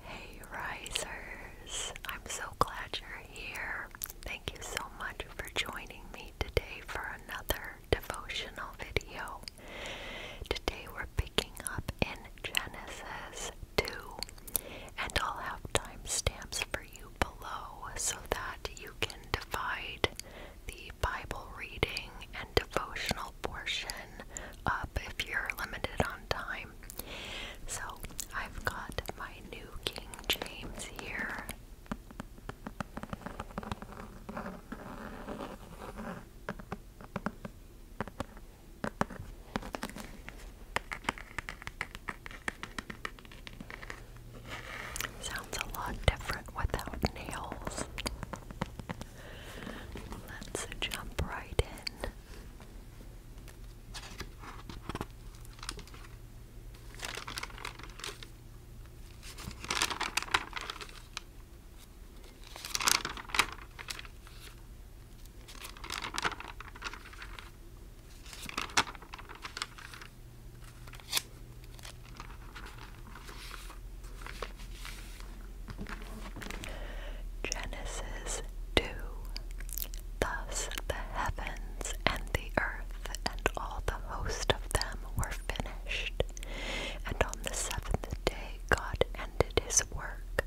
Hey risers, I'm so glad you're here. Thank you so much for joining me today for another devotional video. Today we're picking up in Genesis 2, and I'll have timestamps you below so that you can divide the Bible reading and devotional portion up if you're limited on time. So I've got my new King James here. Sounds a lot different without nails. Let's jump right in. Genesis 2 Thus the heavens and the earth and all the host of them were finished. And on the seventh day God ended his work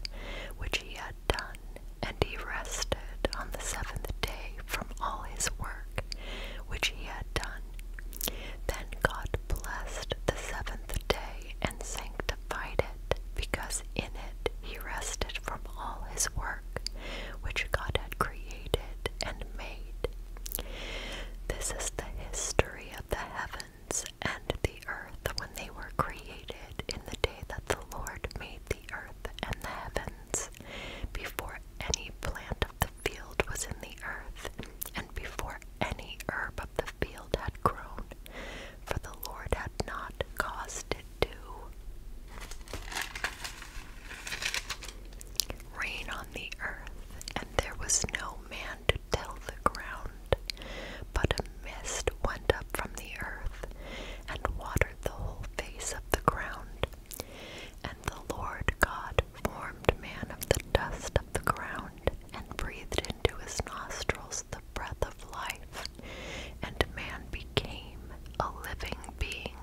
which he had done, and he rested on the seventh day from all his work which he had done. Then God blessed the seventh day and sanctified it, because in it he rested from all his work which God had created and made. This is the history of the heavens and the earth when they were created in the day that the Lord made the earth and the heavens, before any plant of the field was in the earth, and before any herb of the field had grown, for the Lord had not caused it to. Rain on the earth, and there was no man to till the ground, but a mist went up from the earth and water the whole face of the ground. And the Lord God formed man of the dust of the ground, and breathed into his nostrils the breath of life, and man became a living being.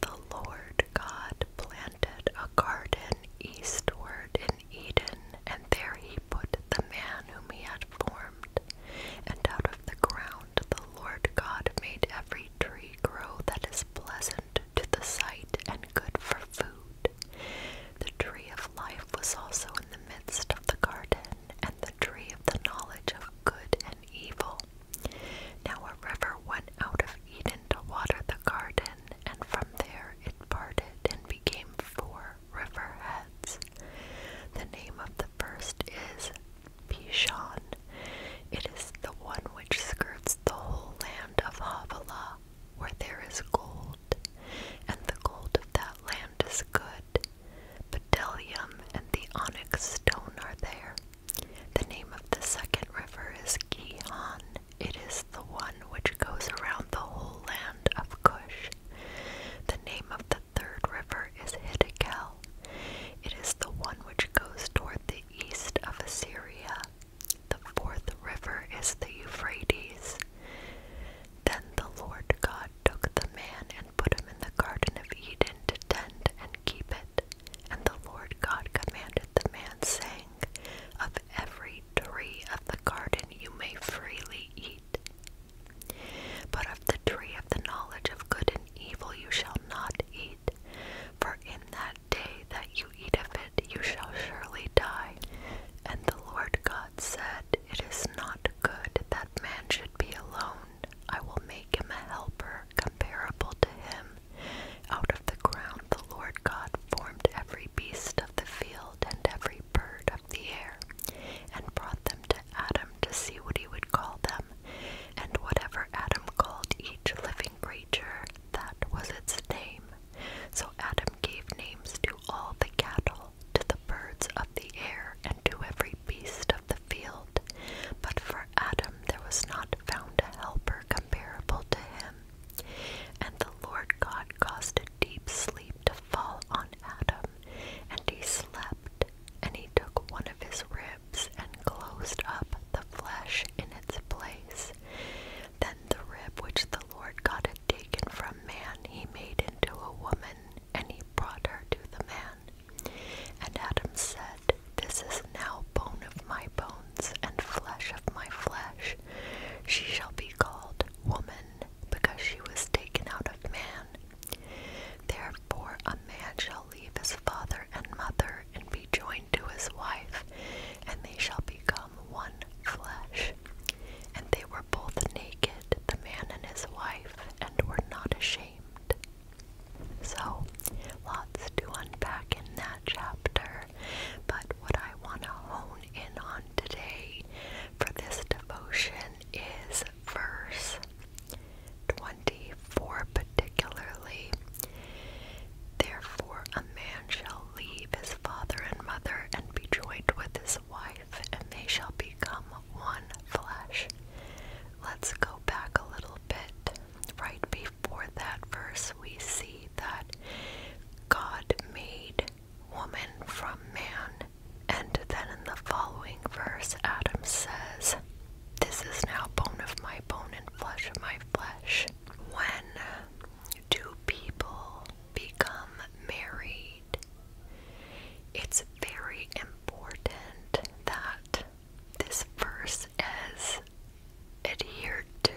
The Lord God planted a garden eastward in Eden, and there he put the man whom he had formed. And out of the ground the Lord God made every tree grow that is pleasant to the sight and good for food. The tree of life was also in the midst of the garden, and the tree of the knowledge of good and evil. Now a river went out of Eden to water the garden, and from there it parted and became four river heads. The name of the first is Pishon. It is the one which skirts the whole land of Havilah, where there is gold, and the gold of that land is good. Bdellium and the onyx stone are there. The name of the second river is Gihon. It is the one which goes around the whole land of Cush. The name of the the third river is Hiddekel. It is the one which goes toward the east of Assyria. The fourth river is the Euphrates. Then the Lord God took the man and put him in the Garden of Eden to tend and keep it. And the Lord God commanded the man, saying, Of every tree of the garden you may freely eat. But of the tree of the knowledge of good and evil you shall not eat, for in that day that you eat of it you shall surely die. And the Lord God said, It is not good that man should be alone. I will make him a helper comparable to him. Out of the ground the Lord God formed every beast of the field and every every bird of the air, and brought them to Adam to see what he would call them. And whatever Adam called each living creature, that was its name. So Adam gave names to all the cattle, to the birds of the air, and to every beast of the field. But for Adam there was not found a helper comparable to him. And the Lord God caused a deep sleep to fall on Adam, and he slept, and he took one of his ribs and closed up the flesh in its place. Then the rib which the Lord God had taken from man he made into a woman, and he brought her to the man. And Adam said, This is now bone of my bones and flesh of my flesh. She shall be called woman because she was taken out of man. Therefore, a man shall leave his father and mother and be joined to his wife, and they shall become one flesh. And they were both naked, the man and his wife, and were not ashamed. So, lots to unpack in that chapter, but what I want to hone in on today for this devotion is verse 24, particularly. Therefore, a man shall leave his father and mother and be joined with his wife, and they shall become one flesh. Let's go back a little bit. Right before that verse, we see that God made woman from man. And then in the following verse, Adam says, This is now bone of my bone and flesh of my flesh. When two people become married? It's very important that this verse is adhered to.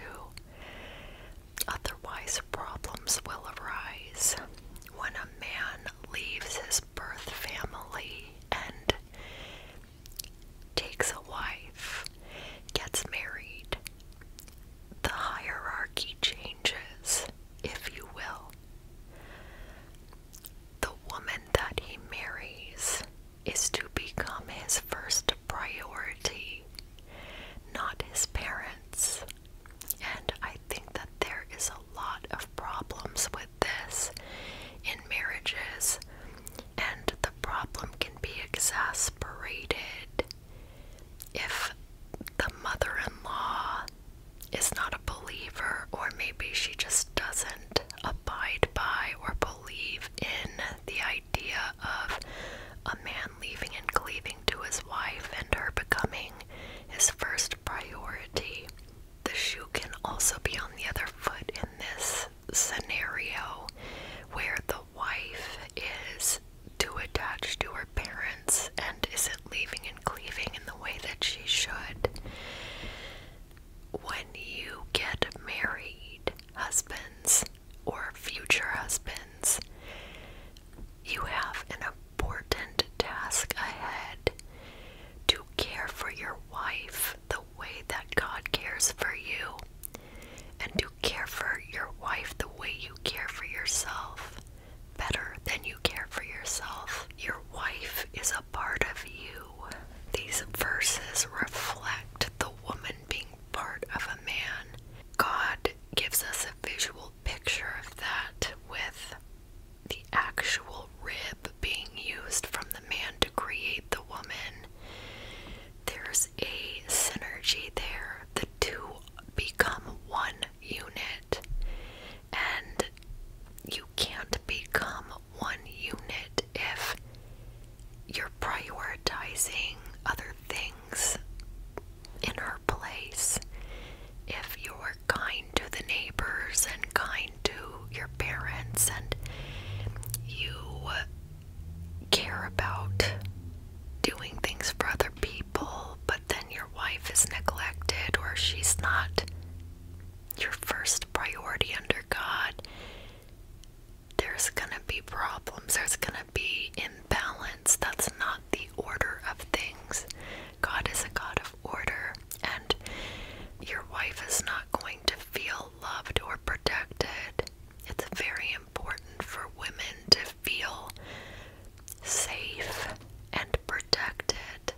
Otherwise, problems will arise. When a man leaves his birth family and takes a wife, gets married, the hierarchy changes, if you will. The woman that he marries is to become his first priority, not his parents. And I think that there is a lot of problems with this in marriages, and the problem can be exasperated if the mother in law is not a believer, or maybe she just doesn't abide by or believe in the idea of a man leaving and cleaving to his wife and her becoming his first priority. The shoe can also be on the other foot in this scenario where the wife is too attached to her parents and isn't leaving and cleaving in the way that she should. When you get married, husbands or future husbands, you have an important task ahead to care for your wife the way that God cares for you, and to care for your wife the way you care for yourself better than you care for yourself. Your wife is a part of you. These verses reflect the woman being part of a man. God gives us a visual picture of that with the actual rib being used from the man to create the woman. There's a synergy there. The two become one unit, and you can't become one unit if you're prioritizing other things in her place. If you are kind to the neighbors and kind to your parents, and you care about doing things for other people, but then your wife is neglected or she's not your first priority under God, there's gonna be problems, there's gonna be imbalance. That's not the order of things. God is a God of order, and your wife is not going to feel loved or protected. It's very important for women to feel safe and protected.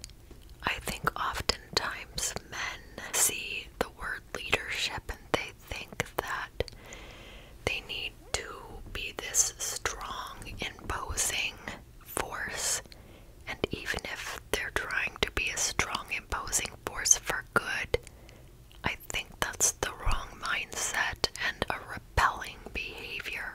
I think oftentimes men see the word leadership and they think that they need to be this strong, imposing force. And even if they're trying to be a strong, imposing force for good, I think that's the wrong mindset and a repelling behavior.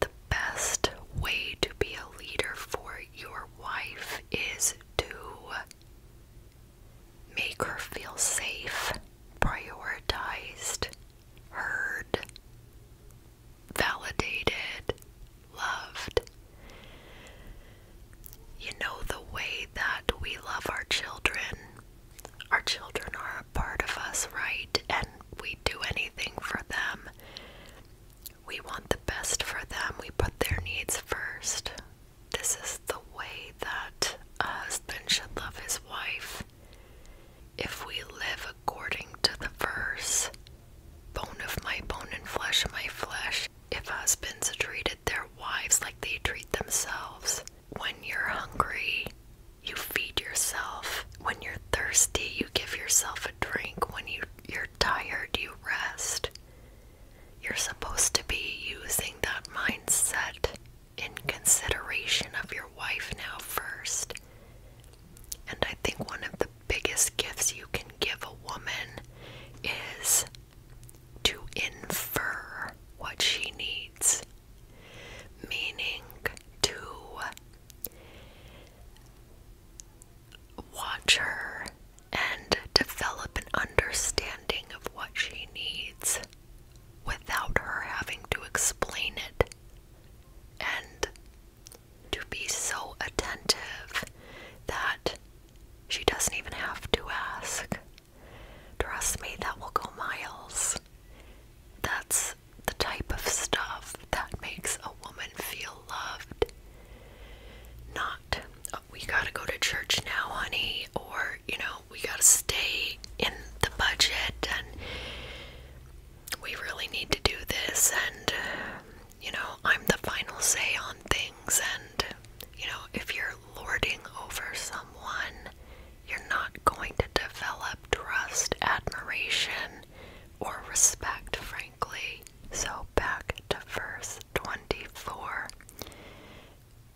The best way to be a leader for your wife is to make her feel safe, prioritized, heard, validated, loved. You know, the way that we love our children, our children are a part of us, right? And we do anything for them. We want the best for them. We put their needs first. This is the way that a husband should love his wife. If we live according to the verse, bone of my bone and flesh of my flesh, if husbands treated their wives like they treat themselves, when you're hungry, you feed yourself. When you're thirsty, you give yourself drink when you you're tired, you rest. You're supposed to be using that mindset in consideration of your wife now first. And I think one of the biggest gifts you can give a woman is to infer what she needs, meaning to watch her and develop an understanding of what she needs without her having to explain it and to be so attentive that she doesn't even have to ask. Trust me, that will go miles. That's the type of stuff that makes a woman feel loved not uh, we gotta go to church now, honey, or you know, we gotta stay in the budget and we really need to do this and you know, I'm the final say on things and you know, if you're lording over someone, you're not going to develop trust, admiration, or respect, frankly. So back to verse 24.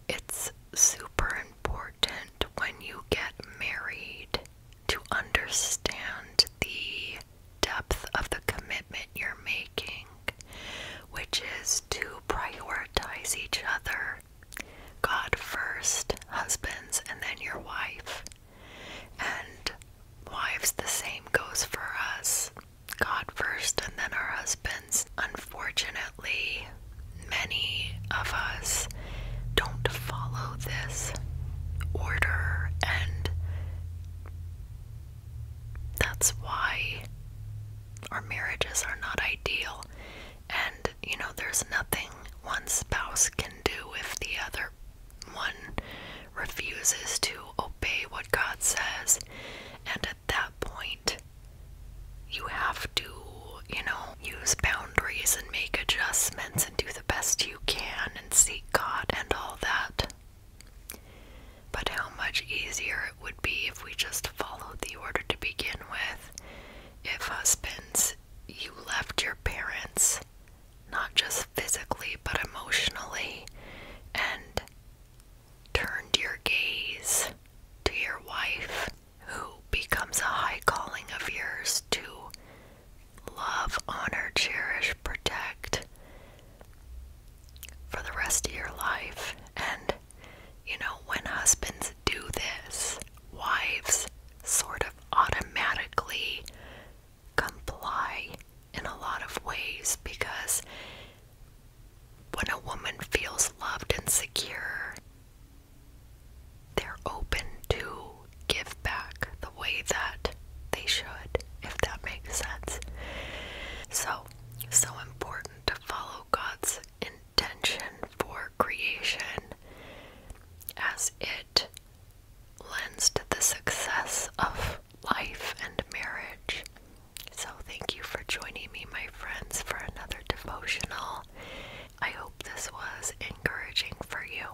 It's super important when you get married to understand the depth of the commitment you're making, which is to prioritize each other. God first, husbands, and then your wife. And wives, the same goes for us. God first and then our husbands. Unfortunately, many of us don't follow this order, and that's why our marriages are not ideal. And you know, there's nothing one spouse can do if the other one refuses to obey what God says, and at that point, you have to, you know, use boundaries and make adjustments and do the best you can and seek God and all that. But how much easier it would be if we just followed the order to begin with. If husbands, you left your parents not just physically but emotionally, and turned your gaze to your wife, who becomes a high calling of yours to love, honor, cherish, protect for the rest of your life. And you know, when husbands do this, wives sort of automatically comply in a lot of ways because when a woman feels loved and secure, they're open to give back the way that they should, if that makes sense. So, so important to follow God's intention for creation as it lends to the success of life and marriage. So, thank you for joining me, my friends, for another devotional. I hope this was encouraging for you.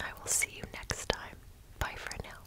I will see you next time. Bye for now.